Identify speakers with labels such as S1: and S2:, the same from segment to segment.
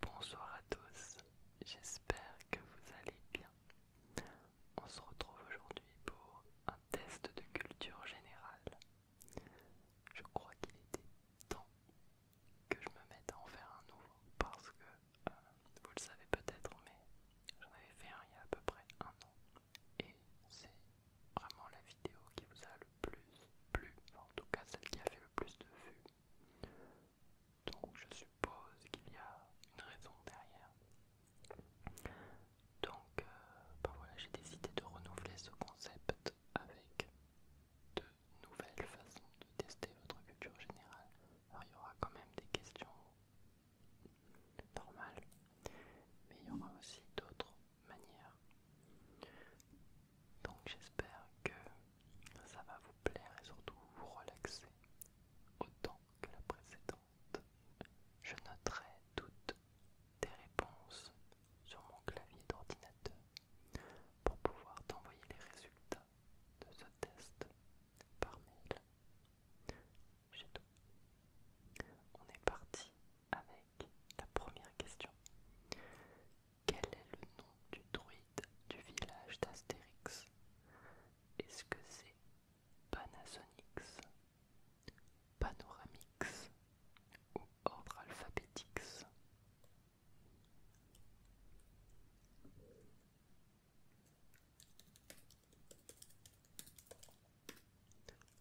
S1: Bonsoir à tous, j'espère que vous allez bien. On se retrouve aujourd'hui pour un test de culture générale. Je crois qu'il était temps que je me mette à en faire un nouveau parce que euh, vous le savez peut-être, mais j'en avais fait un il y a à peu près un an et c'est vraiment la vidéo qui vous a le plus plu, en tout cas celle qui a fait le plus de vues. Donc je suppose qu'il y a une raison derrière. Donc euh, ben voilà, j'ai décidé de renouveler ce concept avec de nouvelles façons de tester votre culture générale. Alors il y aura quand même des questions normales, mais il y aura aussi d'autres manières. Donc j'espère que ça va vous plaire et surtout vous relaxer autant que la précédente. Je noterai toutes tes réponses sur mon clavier d'ordinateur pour pouvoir t'envoyer les résultats de ce test par mail. C'est tout. On est parti avec la première question quel est le nom du druide du village d'Astérix Est-ce que c'est Panasonix, Panoramix ou Ordre Alphabetix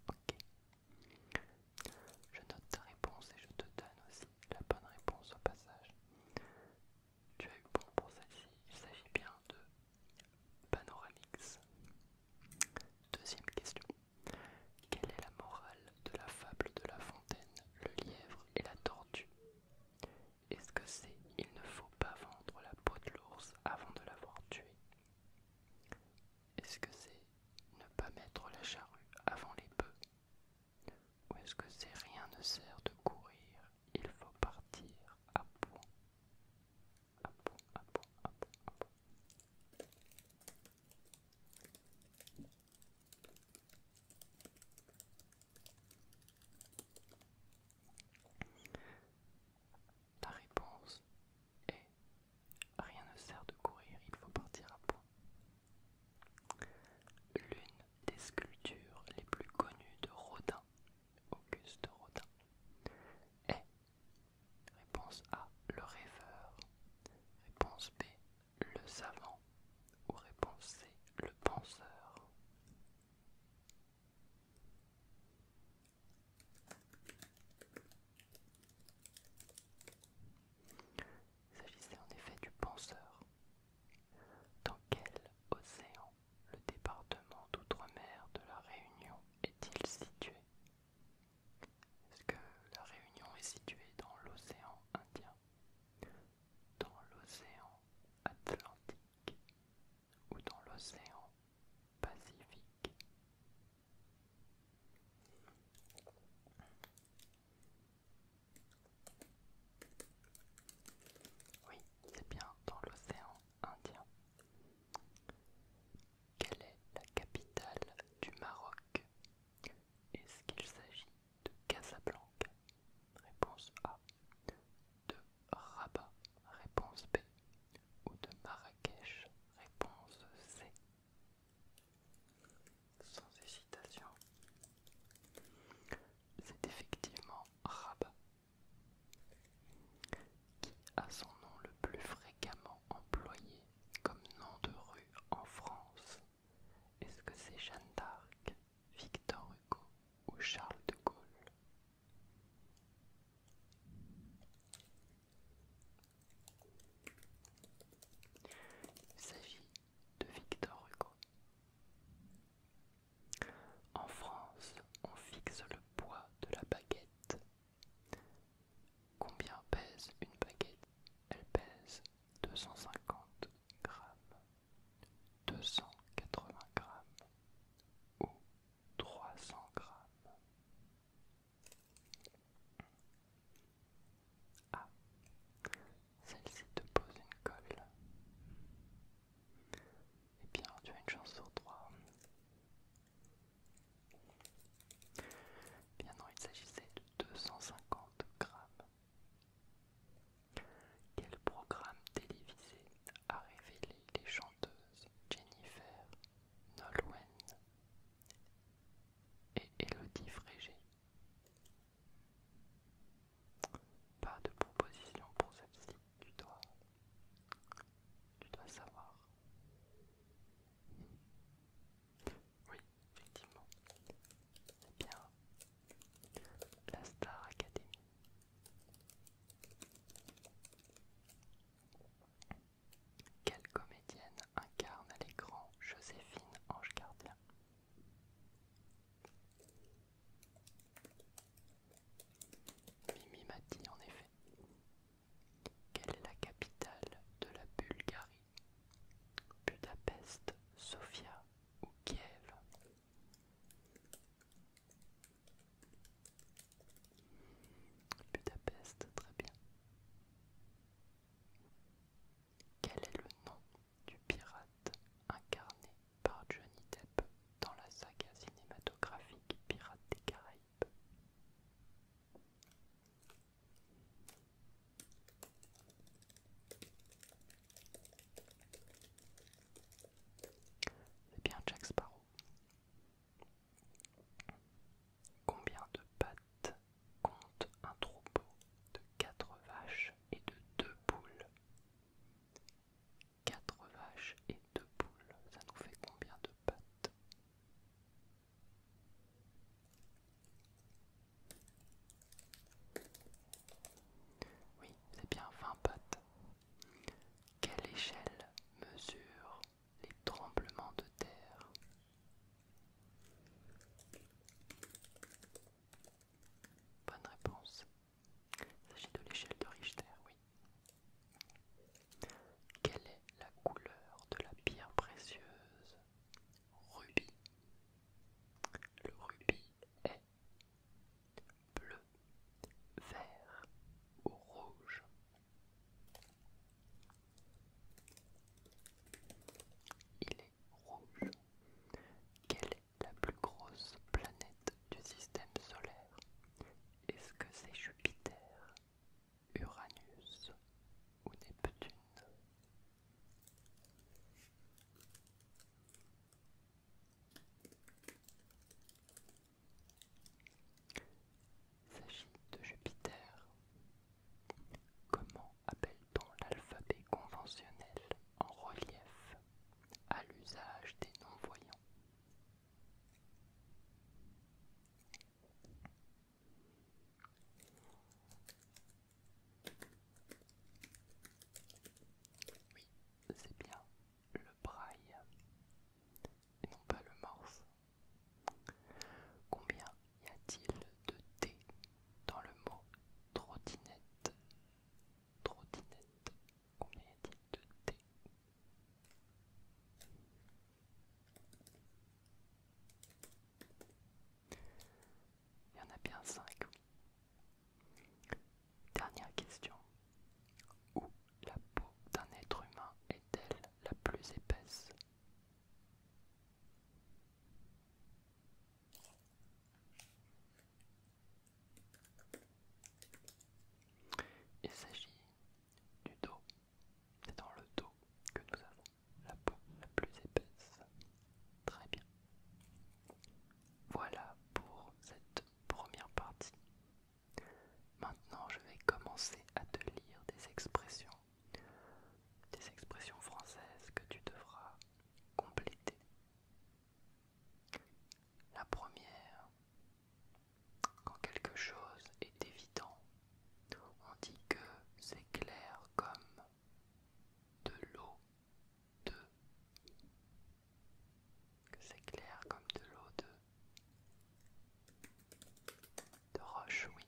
S1: Ok. Je note ta réponse et je te donne aussi la bonne réponse au passage. Tu as eu bon pour celle-ci, il s'agit bien de Panoramix. Deuxième question. Quelle est la morale de la fable de La Fontaine, le lièvre et la tortue Est-ce que c'est il ne faut pas vendre la peau de l'ours avant de l'avoir tué Est-ce que c'est ne pas mettre la charrue avant les bœufs ou est-ce que c'est rien ne sert de courir, il faut partir à point À réponse est rien ne sert de courir, il faut partir à point. L'une des sculptures les plus connues de Rodin, Auguste Rodin, est réponse A, le rêveur, réponse B, le savant, ou réponse C, le penseur. Il s'agissait en effet du penseur. Dans quel océan le département d'outre-mer de la Réunion est-il situé Est-ce que la Réunion est située dans l'océan Indien, dans l'océan Atlantique ou dans l'océan Pacifique oui, c'est bien dans l'océan Indien. Quelle est la capitale du Maroc Est-ce qu'il s'agit de Casablanca Réponse A. De Rabat Réponse B. Ou de Marrakech Réponse C sans hésitation. C'est effectivement Rabat qui a son nom le plus fréquemment employé comme nom de rue en France. Est-ce que c'est Jeanne d'Arc, Victor Hugo ou Charles de Gaulle Il s'agit de Victor Hugo. En France, on fixe le poids de la baguette. Combien pèse une baguette Elle pèse 250 grammes, 280 grammes ou 300 grammes celle-ci te pose une colle. Et eh bien, tu as une chance sur trois. Bien non, il s'agissait de 250 grammes. Quel programme télévisé a révélé les chanteuses Jennifer Nolwenn et Elodie Frégé pas de proposition pour celle-ci, tu dois. Tu dois savoir. Oui, effectivement. C'est bien. La Star Academy. Quelle comédienne incarne à l'écran Joséphine Ange Gardien Mimi m'a dit en effet. Quelle est la capitale de la Bulgarie Budapest, Sofia ou Kiev Budapest, très bien. Quel est le nom du pirate incarné par Johnny Depp dans la saga cinématographique Pirates des Caraïbes. C'est eh bien Jack Sparrow. Combien de pattes compte un troupeau de quatre vaches et de deux poules 4 vaches et 2 poules, ça nous fait combien de pattes Oui, c'est bien 20 pattes. Quelle échelle mesure les tremblements de terre Bonne réponse, il s'agit de l'échelle de Richter, oui. Quelle est la couleur de la pierre précieuse Rubis. Le rubis est bleu, vert ou rouge. Il est rouge. Quelle la plus grosse planète du système solaire Est-ce que c'est Jupiter, Uranus ou Neptune S'agit de Jupiter. Comment appelle-t-on l'alphabet conventionnel en relief à l'usage des non-voyants. Oui, c'est bien le braille et non pas le morse. Combien y a-t-il de T dans le mot trottinette Trottinette. Combien y a il de T Il y en a bien 5. Dernière question. Où la peau d'un être humain est-elle la plus épaisse il s'agit du dos. C'est dans le dos que nous avons la peau la plus épaisse. Très bien. Voilà pour cette première partie. Maintenant, je vais commencer à te lire des expressions, des expressions françaises que tu devras compléter la première, quand quelque chose est évident, on dit que c'est clair comme de l'eau de. C'est clair comme de l'eau de. de roche, oui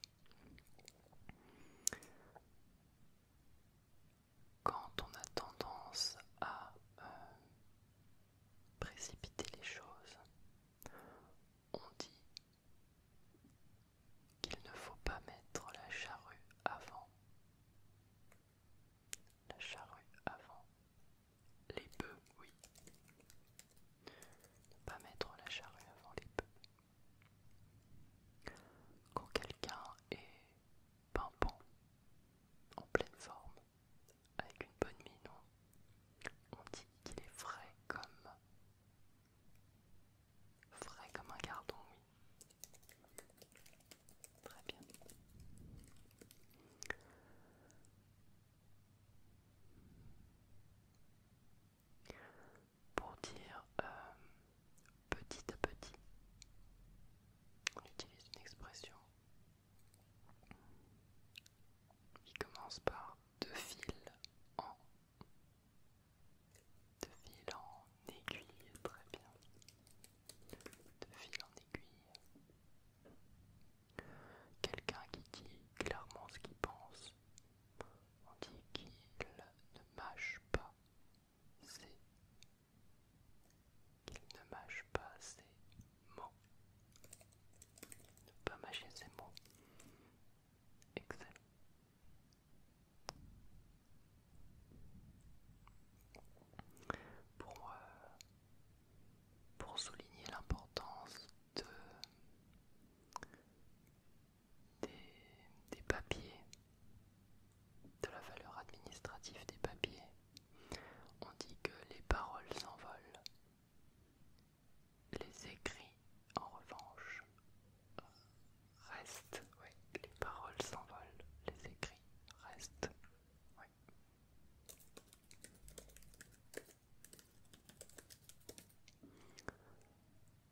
S1: quand on a tendance à euh, précipiter les choses, on dit qu'il ne faut pas mettre la charrue avant. La charrue avant. Les bœufs, oui. Ne pas mettre la charrue avant les bœufs. Quand quelqu'un est Pampon en pleine forme, avec une bonne mine. On dit qu'il est frais comme. frais comme un gardon, oui. Très bien. Pour dire euh, petit à petit, on utilise une expression il commence par deux fils en deux en aiguille, très bien. Deux fils en aiguille. Quelqu'un qui dit clairement ce qu'il pense. On dit qu'il ne mâche pas ses qu'il ne mâche pas ses mots. Ne pas mâcher ses mots. Excellent. Pour, pour souligner l'importance de, des papiers, de la valeur administrative des papiers on dit que les paroles s'envolent. Les écrits, en revanche, restent. Oui, les paroles s'envolent, les écrits restent. Oui.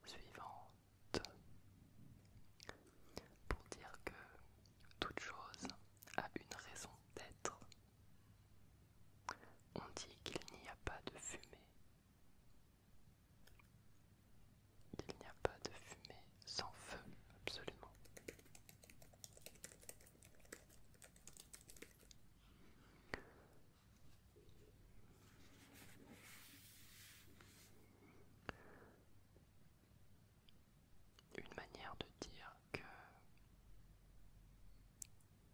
S1: Suivante. Pour dire que toute chose a une raison d'être. On dit qu'il n'y a pas de fumée. Il n'y a pas de fumée sans feu, absolument une manière de dire que,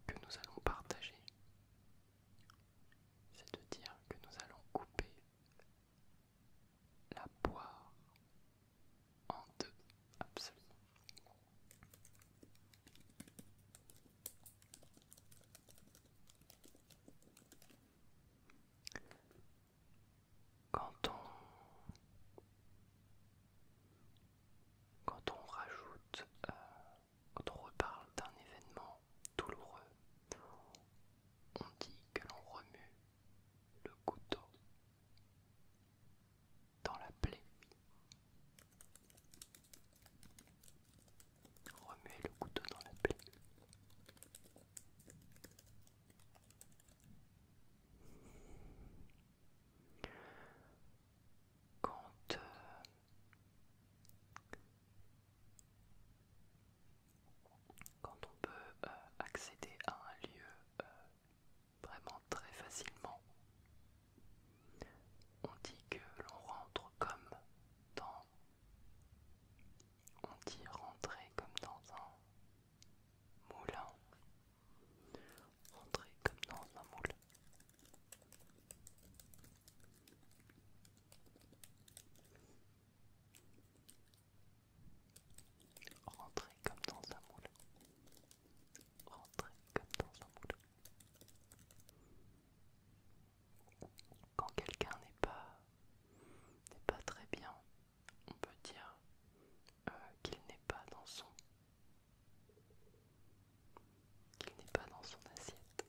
S1: que nous allons partager. C'est de dire que nous allons couper la poire en deux, absolument quand on, quand on rajoute, euh, quand on reparle d'un événement douloureux, on dit que l'on remue le couteau dans la plaie. Remet le couteau dans la plaie. Quand euh, quand on peut euh, accéder à un lieu euh, vraiment très facilement, on dit que l'on rentre comme dans on dit rentrer comme dans un moulin Rentrer comme dans un moule. Rentrer comme dans un moule. Rentrer comme dans un moule. Quand quelqu'un n'est pas n'est pas très bien on peut dire euh, qu'il n'est pas dans son qu'il n'est pas dans son assiette.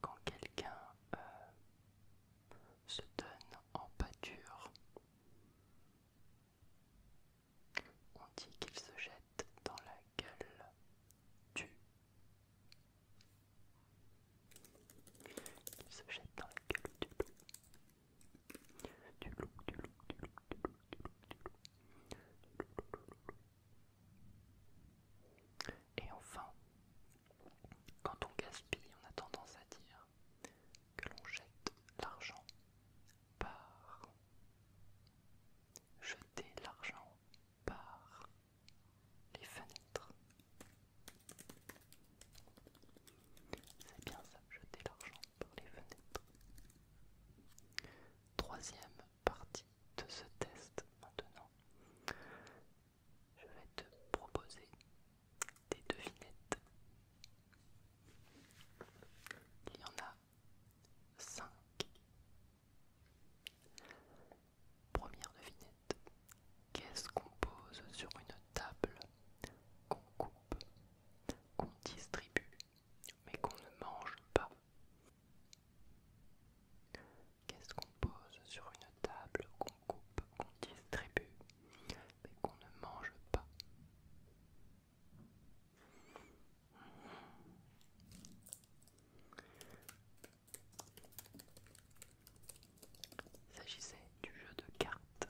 S1: Quand quelqu'un euh, se donne en pâture, on dit qu'il se jette dans la gueule du dans Et enfin, quand on gaspille, on a tendance à dire que l'on jette l'argent par. Jeter l'argent par les fenêtres. C'est bien ça, jeter l'argent pour les fenêtres. Troisième partie de ce test maintenant. Je vais te proposer des devinettes. Il y en a 5 Première devinette. Qu'est-ce qu'on pose sur une table qu'on coupe, qu'on distribue, mais qu'on ne mange pas Qu'est-ce qu'on pose sur une table qu'on coupe, qu'on distribue, mais qu'on ne mange pas il s'agissait du jeu de cartes.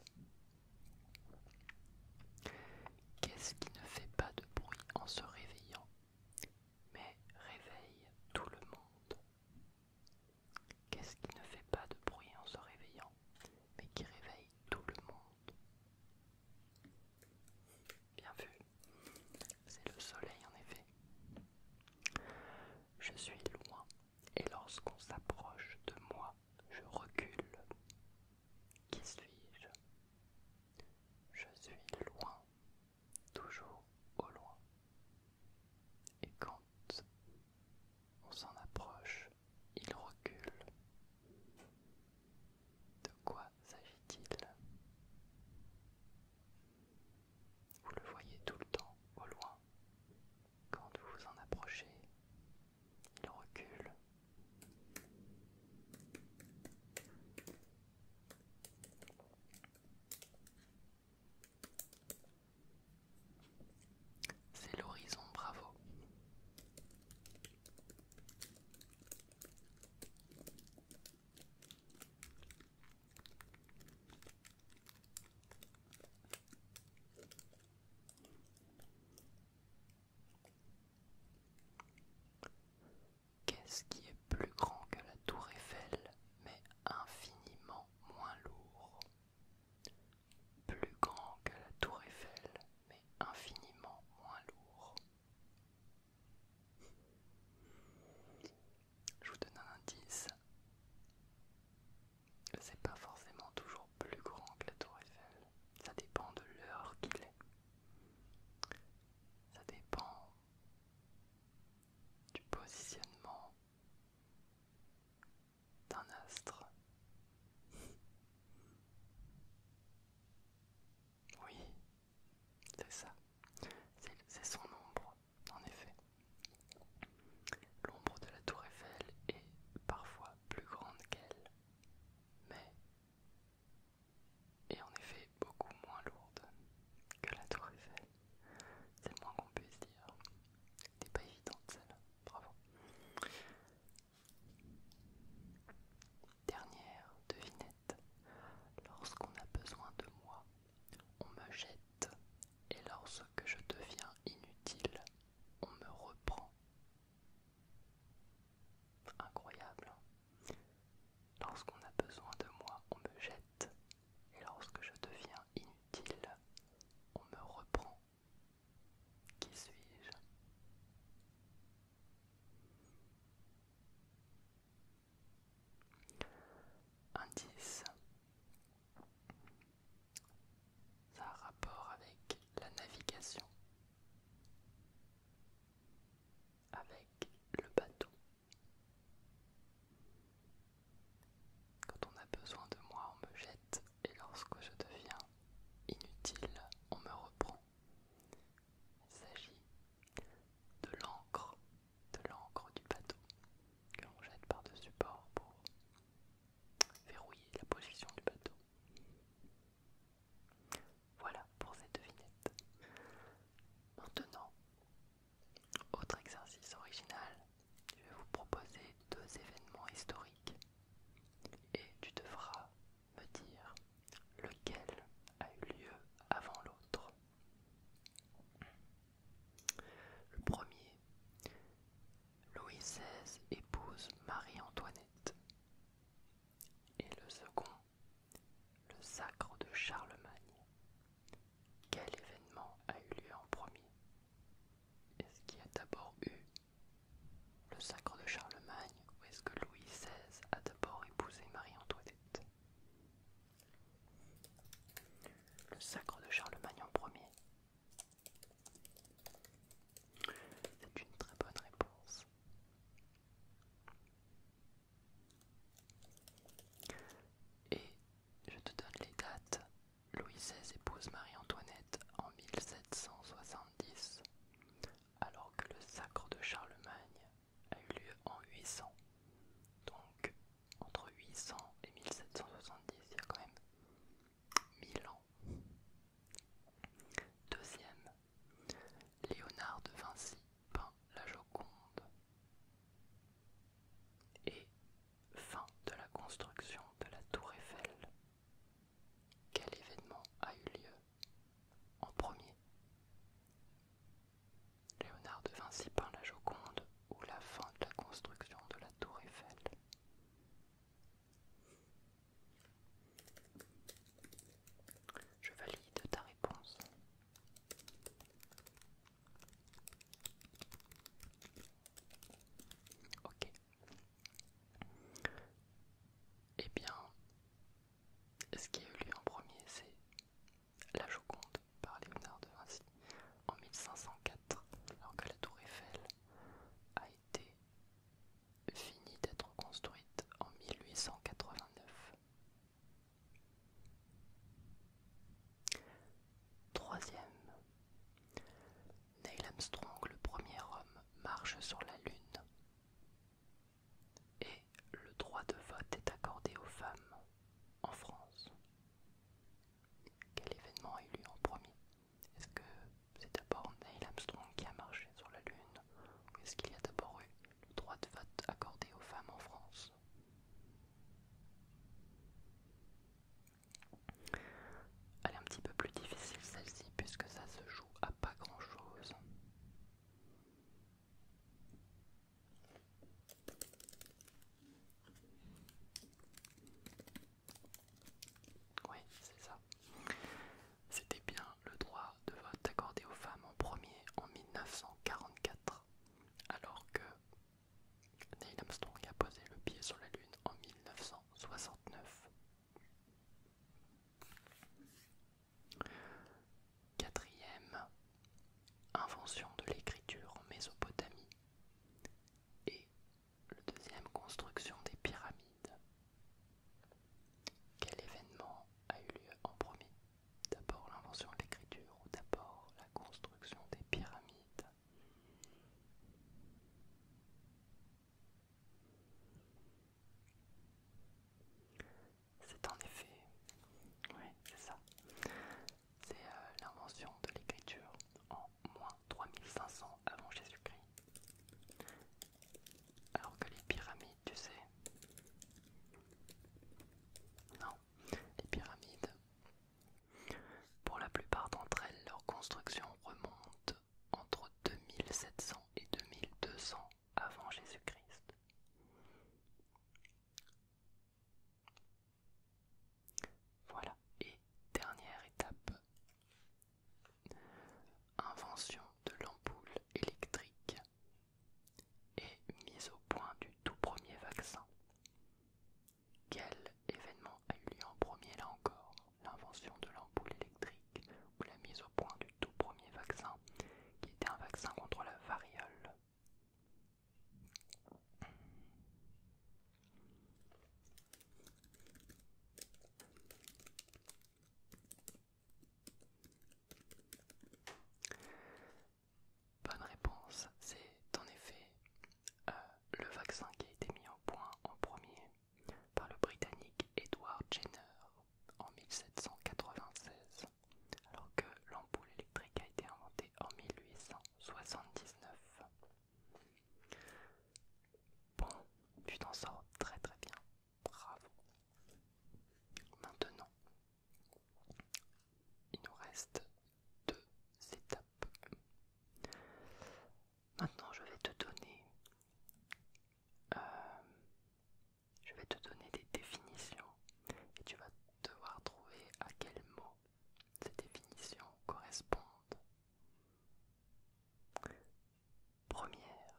S1: Qu'est-ce qui ne fait pas de bruit en se réveillant, mais réveille tout le monde Qu'est-ce qui ne fait pas de bruit en se réveillant, mais qui réveille tout le monde Bien vu. C'est le soleil en effet. Je suis loin et lorsqu'on s'approche de moi, je recule. Qui suis-je Je suis loin, toujours au loin. Et quand on s'en approche, il recule. De quoi s'agit-il vous le voyez tout le temps au loin. Quand vous vous en approchez, il recule. C'est l'horizon, bravo. Qu'est-ce qui est plus grand que la tour Eiffel, mais infiniment moins lourd Plus grand que la tour Eiffel, mais infiniment moins lourd. Je vous donne un indice. C'est pas forcément toujours plus grand que la tour Eiffel. Ça dépend de l'heure qu'il est. Ça dépend du positionnement d'un astre. Oui, c'est ça. C'est son ombre en effet, l'ombre de la tour Eiffel est parfois plus grande qu'elle, mais est en effet beaucoup moins lourde que la tour Eiffel. C'est le moins qu'on puisse dire. n'est pas évidente celle-là, bravo. Dernière devinette. Lorsqu'on a besoin de moi, on me jette, et lorsque je deviens inutile, on me reprend. Incroyable. Hein. Lorsqu'on a besoin de moi, on me jette, et lorsque je deviens inutile, on me reprend. Qui suis-je Indice. Ça a rapport avec la navigation, avec le bateau. Quand on a besoin de moi, on me jette et lorsque je deviens inutile, on me reprend. Il s'agit de l'encre de l'encre du bateau que l'on jette par-dessus bord pour verrouiller la position du bateau. Voilà pour cette devinette. Maintenant, autre exercice original, je vais vous proposer deux événements historiques et tu devras me dire lequel a eu lieu avant l'autre. Le premier, Louis XVI épouse Marie-Antoinette. Et le second, le sacre de Charlemagne. Quel événement a eu lieu en premier Est-ce qu'il y a d'abord eu le sacre de Charlemagne ou est-ce que Louis XVI a d'abord épousé Marie-Antoinette le sacre de Charlemagne en premier. C'est une très bonne réponse. Et je te donne les dates. Louis XVI épouse Marie-Antoinette en 1770, alors que le sacre de Charlemagne a eu lieu en 800. Donc entre 800 et 1770, il y a quand même 1000 ans. Deuxième, Léonard de Vinci peint la Joconde. Et fin de la construction de la tour Eiffel. Quel événement a eu lieu en premier Léonard de Vinci peint la Joconde ou la fin de la construction de la tour Eiffel. Je valide ta réponse. Ok. Eh bien, ce qui a eu lieu en premier, c'est la Joconde par Léonard de Vinci en 1504, alors que la tour Eiffel a été finie d'être construite en 1889. Troisième, Neil Armstrong, le premier homme, marche sur la Lune et le droit de vote est accordé aux femmes en France. Quel événement a eu en premier Est-ce que c'est d'abord Neil Armstrong qui a marché sur la Lune ou est-ce qu'il y a d'abord eu le droit de vote accordé aux femmes en France Elle est un petit peu plus difficile celle-ci puisque ça se joue à pas grand-chose. Oui, c'est ça. C'était bien le droit de vote accordé aux femmes en premier en 1944, alors que Neil Armstrong a posé le pied sur la Lune en 1969. Quatrième invention de l'écriture en Mésopotamie et le deuxième construction des pyramides. Quel événement a eu lieu en premier D'abord l'invention de l'écriture ou d'abord la construction des pyramides C'est en effet, oui, c'est ça, c'est euh, l'invention de l'écriture en moins 3500 avant Jésus-Christ. Alors que les pyramides, tu sais... Non, les pyramides... Pour la plupart d'entre elles, leur construction remonte entre 2700 et 2200 avant Jésus-Christ. Voilà, et dernière étape. Invention de l'ampoule électrique et mise au point du tout premier vaccin. Quel événement a eu lieu en premier là encore L'invention de l'ampoule électrique ou la mise au point du tout premier vaccin qui était un vaccin contre la variole. Bonne réponse, c'est en effet euh, le vaccin qui a été mis au point en premier par le Britannique Edward Jenner en 1796, alors que l'ampoule électrique a été inventée en 1800. 79. Bon, tu t'en sors très très bien. Bravo. Maintenant, il nous reste deux étapes. Maintenant, je vais te donner... Euh, je vais te donner des définitions et tu vas devoir trouver à quel mot ces définitions correspondent. Première,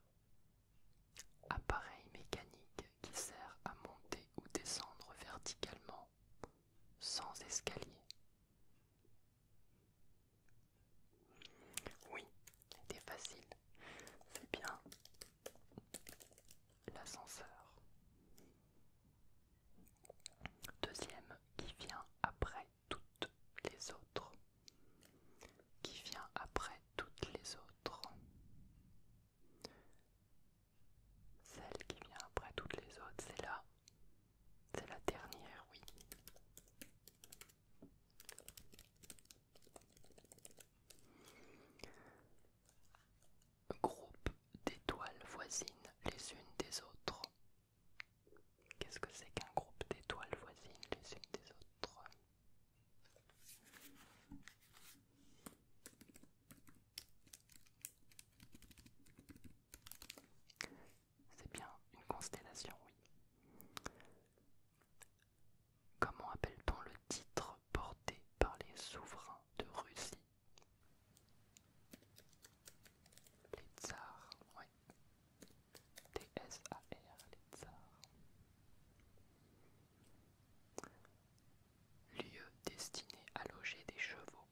S1: appareil mécanique qui sert à monter ou descendre verticalement sans escalier. Oui, c'était facile. C'est bien l'ascenseur. Deuxième qui vient après toutes les autres. Qui vient après toutes les autres. Celle qui vient après toutes les autres, c'est là. C'est la dernière, oui. Groupe d'étoiles voisines les unes des autres. Qu'est-ce que c'est qu'un groupe d'étoiles voisines les unes des autres C'est bien une constellation, oui. Comment appelle-t-on le titre porté par les souverains de Russie les tsars, oui. T-S-A-R, les tsars. Lieu destiné à loger des chevaux.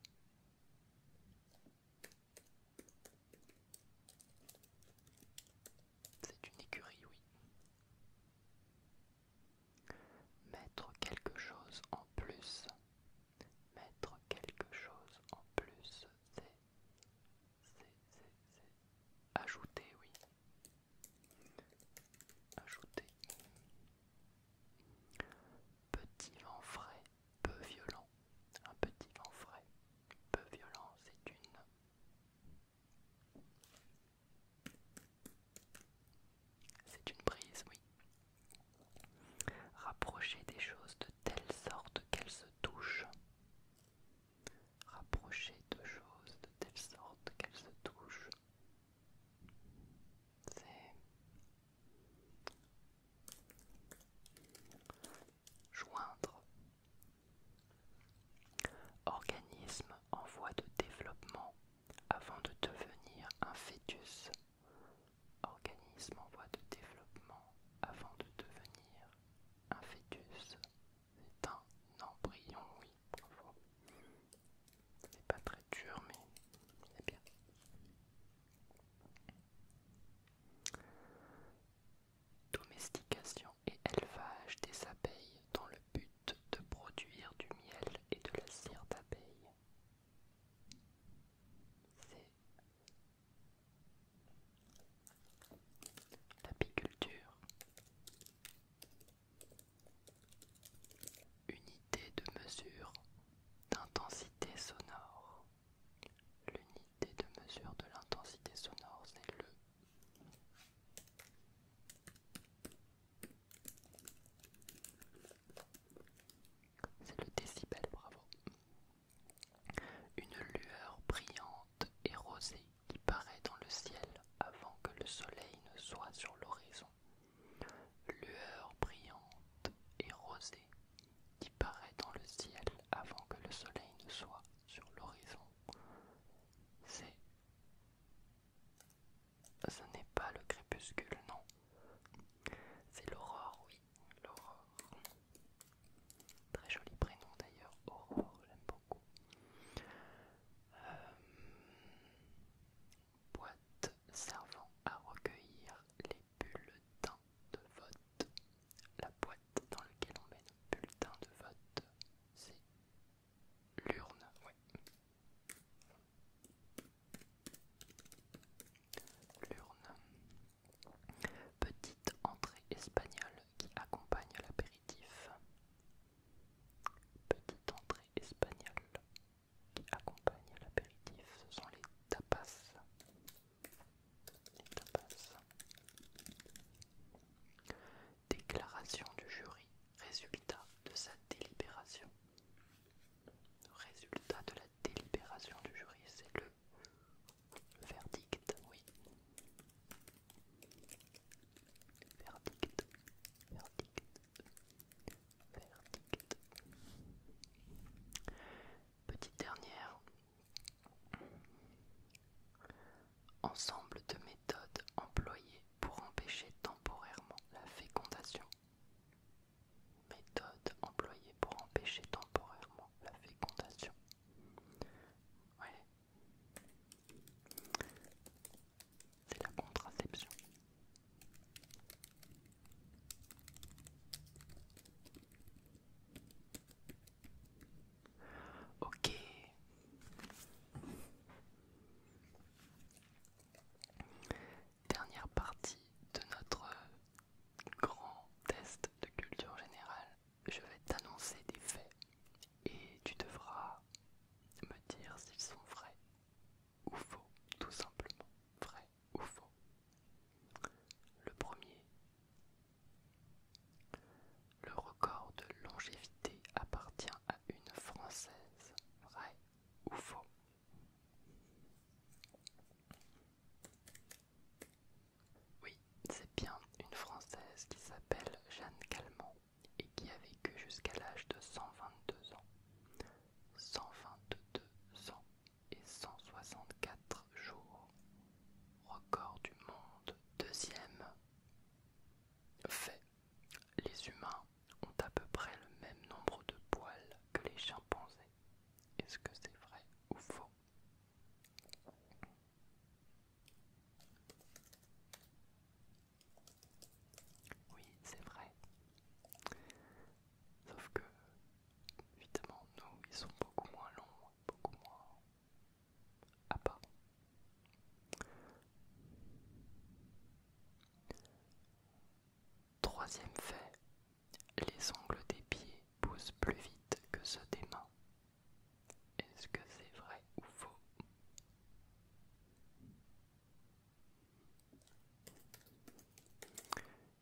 S1: C'est une écurie, oui. Mettre quelque chose en plus Mettre quelque chose en plus, c'est... C'est... C'est... Ajouter, oui. Ajouter. Petit vent frais, peu violent. Un petit vent frais, peu violent, c'est une... C'est une brise, oui. Rapprocher des choses de telle sorte qu'elles se touchent. Rapprocher deux choses de telle sorte qu'elles se touchent. C'est joindre. Organisme en voie de développement avant de devenir un fœtus organisme en voie de développement avant de devenir un fœtus. C'est un embryon, oui, parfois. C'est pas très dur, mais c'est bien. Domestication et élevage des abeilles dans le but de produire du miel et de la cire d'abeille c'est l'apiculture. Unité de mesure d'intensité sonore. L'unité de mesure de l'intensité sonore, c'est le c'est le décibel, bravo. Une lueur brillante et rosée qui paraît dans le ciel avant que le soleil ne soit sur l'horizon. Lueur brillante et rosée qui paraît dans le ciel avant que le soleil ne soit sur l'horizon. C'est... Ce n'est pas le crépuscule, non. C'est l'aurore, oui l'Aurore. Très joli prénom d'ailleurs, Aurore, j'aime beaucoup. Euh, boîte servant à recueillir les bulletins de vote. La boîte dans laquelle on met nos bulletins de vote, c'est l'urne. Ouais. L'urne. Petite entrée espagnole qui accompagne l'apéritif. Petite entrée espagnole qui accompagne l'apéritif. Ce sont les tapas. Les tapas. Déclaration du jury. Résultat de sa délibération résultat de la délibération du jury, c'est le verdict, oui. Verdict, verdict, verdict. Petite dernière. Ensemble de méthodes employées pour empêcher temporairement la fécondation méthode employée pour empêcher temporairement la fécondation. C'est la contraception. Ok dernière partie de notre euh, grand test de culture générale. Je vais t'annoncer des faits et tu devras me dire s'ils sont vrais ou faux, tout simplement. Vrai ou faux. Le premier, le record de longévité appartient à une Française. Vrai ou faux oui, c'est bien une Française qui s'appelle Jeanne Calment et qui a vécu jusqu'à l'âge de 122 ans. 122 ans et 164 jours. Record du monde. Deuxième fait. Les humains ont à peu près le même nombre de poils que les chimpanzés. Est-ce que c'est vrai ou faux Oui, c'est vrai. Sauf que, évidemment, nous, ils sont beaucoup moins longs, beaucoup moins à part. Troisième fait les ongles des pieds poussent plus vite que ceux des mains. Est-ce que c'est vrai ou faux Et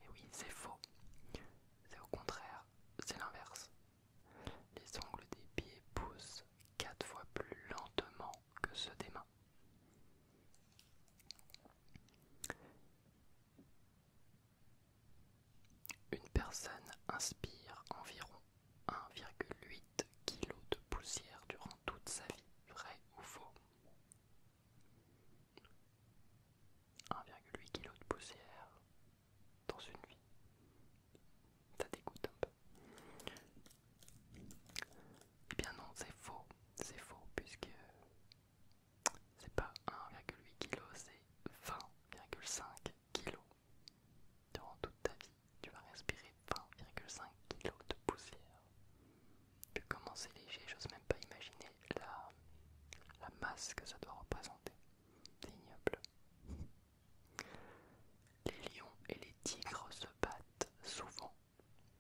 S1: eh oui, c'est faux. C'est au contraire, c'est l'inverse. Les ongles des pieds poussent quatre fois plus lentement que ceux des mains. Une personne inspire environ 1,8 kg de poussière durant toute sa vie, vrai ou faux 1,8 kg de poussière dans une vie. Ça dégoûte un peu. Eh bien non, c'est faux, c'est faux puisque c'est pas 1,8 kg, c'est 20,5 kg. Durant toute ta vie, tu vas respirer 20,5 kg de poussière. Puis comment c'est léger, j'ose même pas imaginer la, la masse que ça doit représenter. C'est ignoble. Les lions et les tigres se battent souvent.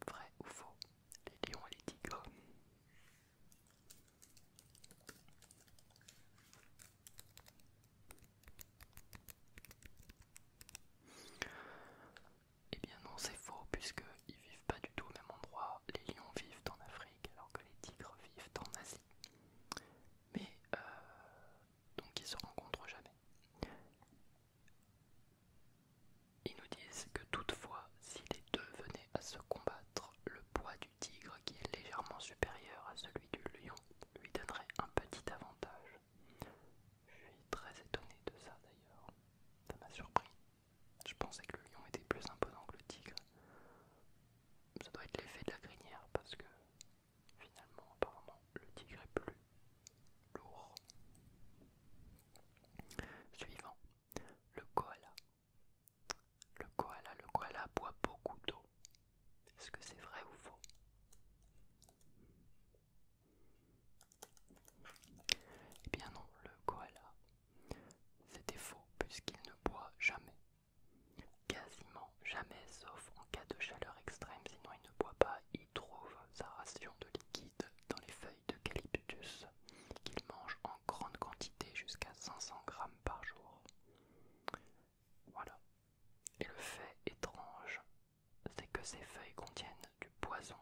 S1: Vrai ou faux Les lions et les tigres et eh bien non, c'est faux, puisque ils vivent pas du tout au même endroit. Les lions vivent en Afrique, alors que les tigres vivent en Asie. Mais euh, donc ils se rencontrent jamais. Ils nous disent que toutefois, si les deux venaient à se combattre, le poids du tigre, qui est légèrement supérieur à celui du lion, lui donnerait un petit avantage. Je suis très étonné de ça d'ailleurs. Ça m'a surpris. Je pensais que le lion était plus imposant que le tigre. Ça doit être l'effet de la grinière parce que finalement, apparemment, le tigre est plus lourd. Suivant, le koala. Le koala, le koala boit beaucoup d'eau. Est-ce que c'est vrai ou faux Eh bien non, le koala, c'était faux puisqu'il ne boit jamais. Quasiment jamais, sauf en cas de chaleur extrême, sinon il ne boit pas, il trouve sa ration de liquide dans les feuilles d'eucalyptus qu'il mange en grande quantité jusqu'à 500 grammes par jour. Voilà. Et le fait étrange, c'est que ces feuilles contiennent du poison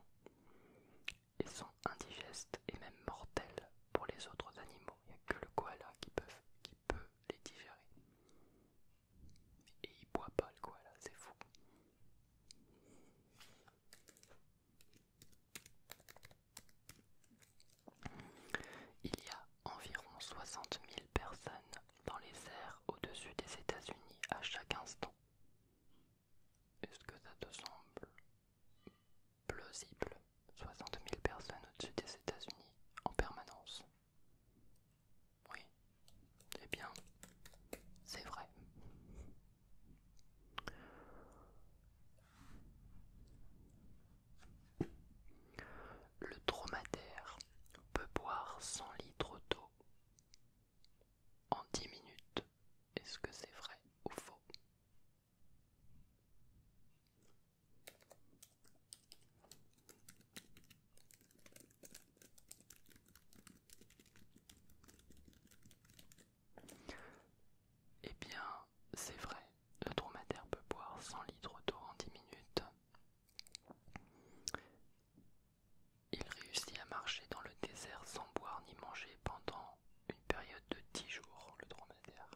S1: Elles sont indigestes et même mortelles pour les autres animaux. Il n'y a que le koala qui peut, les digérer. Et il boit pas le koala, c'est fou. Il y a environ 60 000 personnes dans les airs au-dessus des États-Unis à chaque instant. Est-ce que ça te semble plausible 60 000 personnes au-dessus des États-Unis en permanence Oui. Eh bien, c'est vrai. Le dromadaire peut boire 100 litres d'eau en dix minutes. Est-ce que c'est vrai ou faux eh bien, c'est vrai, le dromadaire peut boire 100 litres d'eau en 10 minutes. Il réussit à marcher dans le désert sans boire ni manger pendant une période de 10 jours, le dromadaire.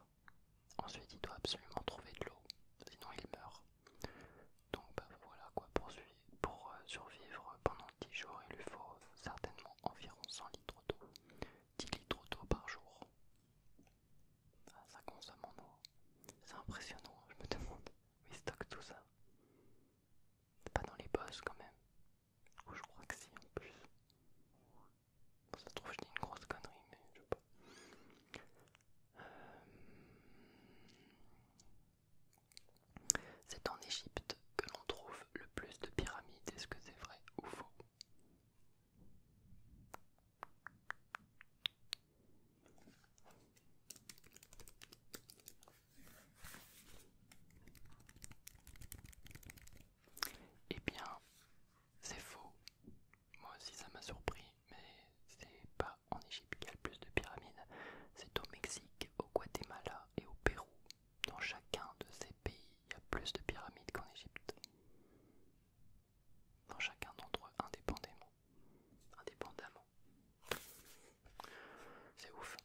S1: Ensuite, il doit absolument trouver de l'eau, sinon il meurt. Donc bah, voilà quoi, pour, pour euh, survivre pendant 10 jours, il lui faut certainement environ 100 litres d'eau. 10 litres d'eau par jour, ah, ça consomme en eau. C'est impressionnant, hein, je me demande où ils stockent tout ça. C'est pas dans les bosses quand même. Ou je crois que si en plus. ça trouve, je dis une grosse connerie, mais je sais pas. Euh, c'est en Égypte que l'on trouve le plus de pyramides. Est-ce que c'est vrai ou faux eh bien, c'est faux. Moi aussi ça m'a surpris, mais c'est pas en Égypte qu'il y a le plus de pyramides, c'est au Mexique, au Guatemala et au Pérou. Dans chacun de ces pays, il y a plus de pyramides qu'en Égypte. Dans chacun d'entre eux indépendamment. Indépendamment. C'est ouf.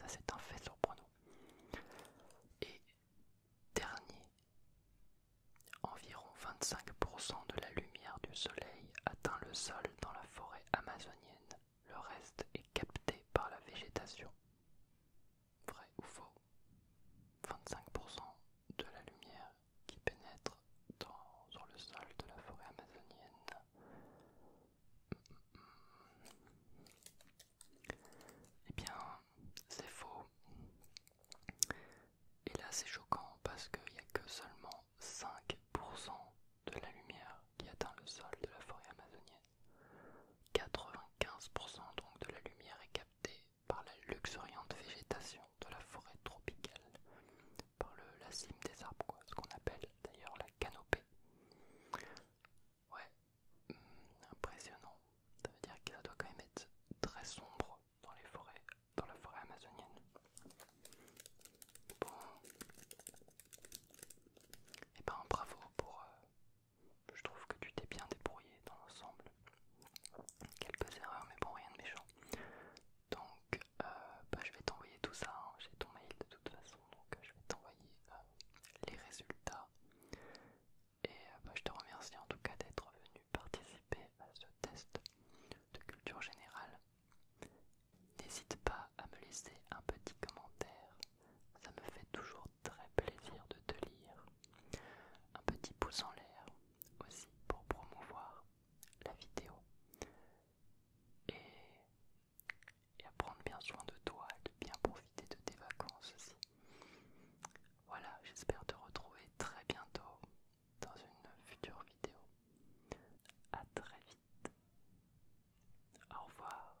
S1: Ça, c'est un fait surprenant. Et dernier, environ 25% de la lumière du soleil atteint le sol dans la forêt amazonienne. Le reste est capté par la végétation vrai ou faux, 25% de la lumière qui pénètre dans, sur le sol de la forêt amazonienne. Eh bien, c'est faux. Et là, c'est choquant parce qu'il n'y a que seulement 5% de la lumière qui atteint le sol de la forêt amazonienne. 95% donc de la lumière est captée par la luxuriante végétation de la forêt tropicale, par le, la cime des arbres, quoi, ce qu'on appelle d'ailleurs la canopée. Ouais, hmm, impressionnant. Ça veut dire que ça doit quand même être très sombre dans les forêts, dans la forêt amazonienne. Bon, et eh ben bravo pour, euh, je trouve que tu t'es bien débrouillé dans l'ensemble. Quelques erreurs, mais bon, rien de méchant. Donc, euh, bah, je vais t'envoyer tout ça. Hein. J'ai ton mail de toute façon, donc je vais t'envoyer euh, les résultats. Et euh, bah, je te remercie en tout cas d'être venu participer à ce test de culture générale. N'hésite pas à me laisser un petit commentaire ça me fait toujours très plaisir de te lire. Un petit pouce en l'air aussi pour promouvoir la vidéo. Et, à prendre bien soin de toi et de bien profiter de tes vacances aussi. Voilà, j'espère te retrouver très bientôt dans une future vidéo. A très vite. Au revoir.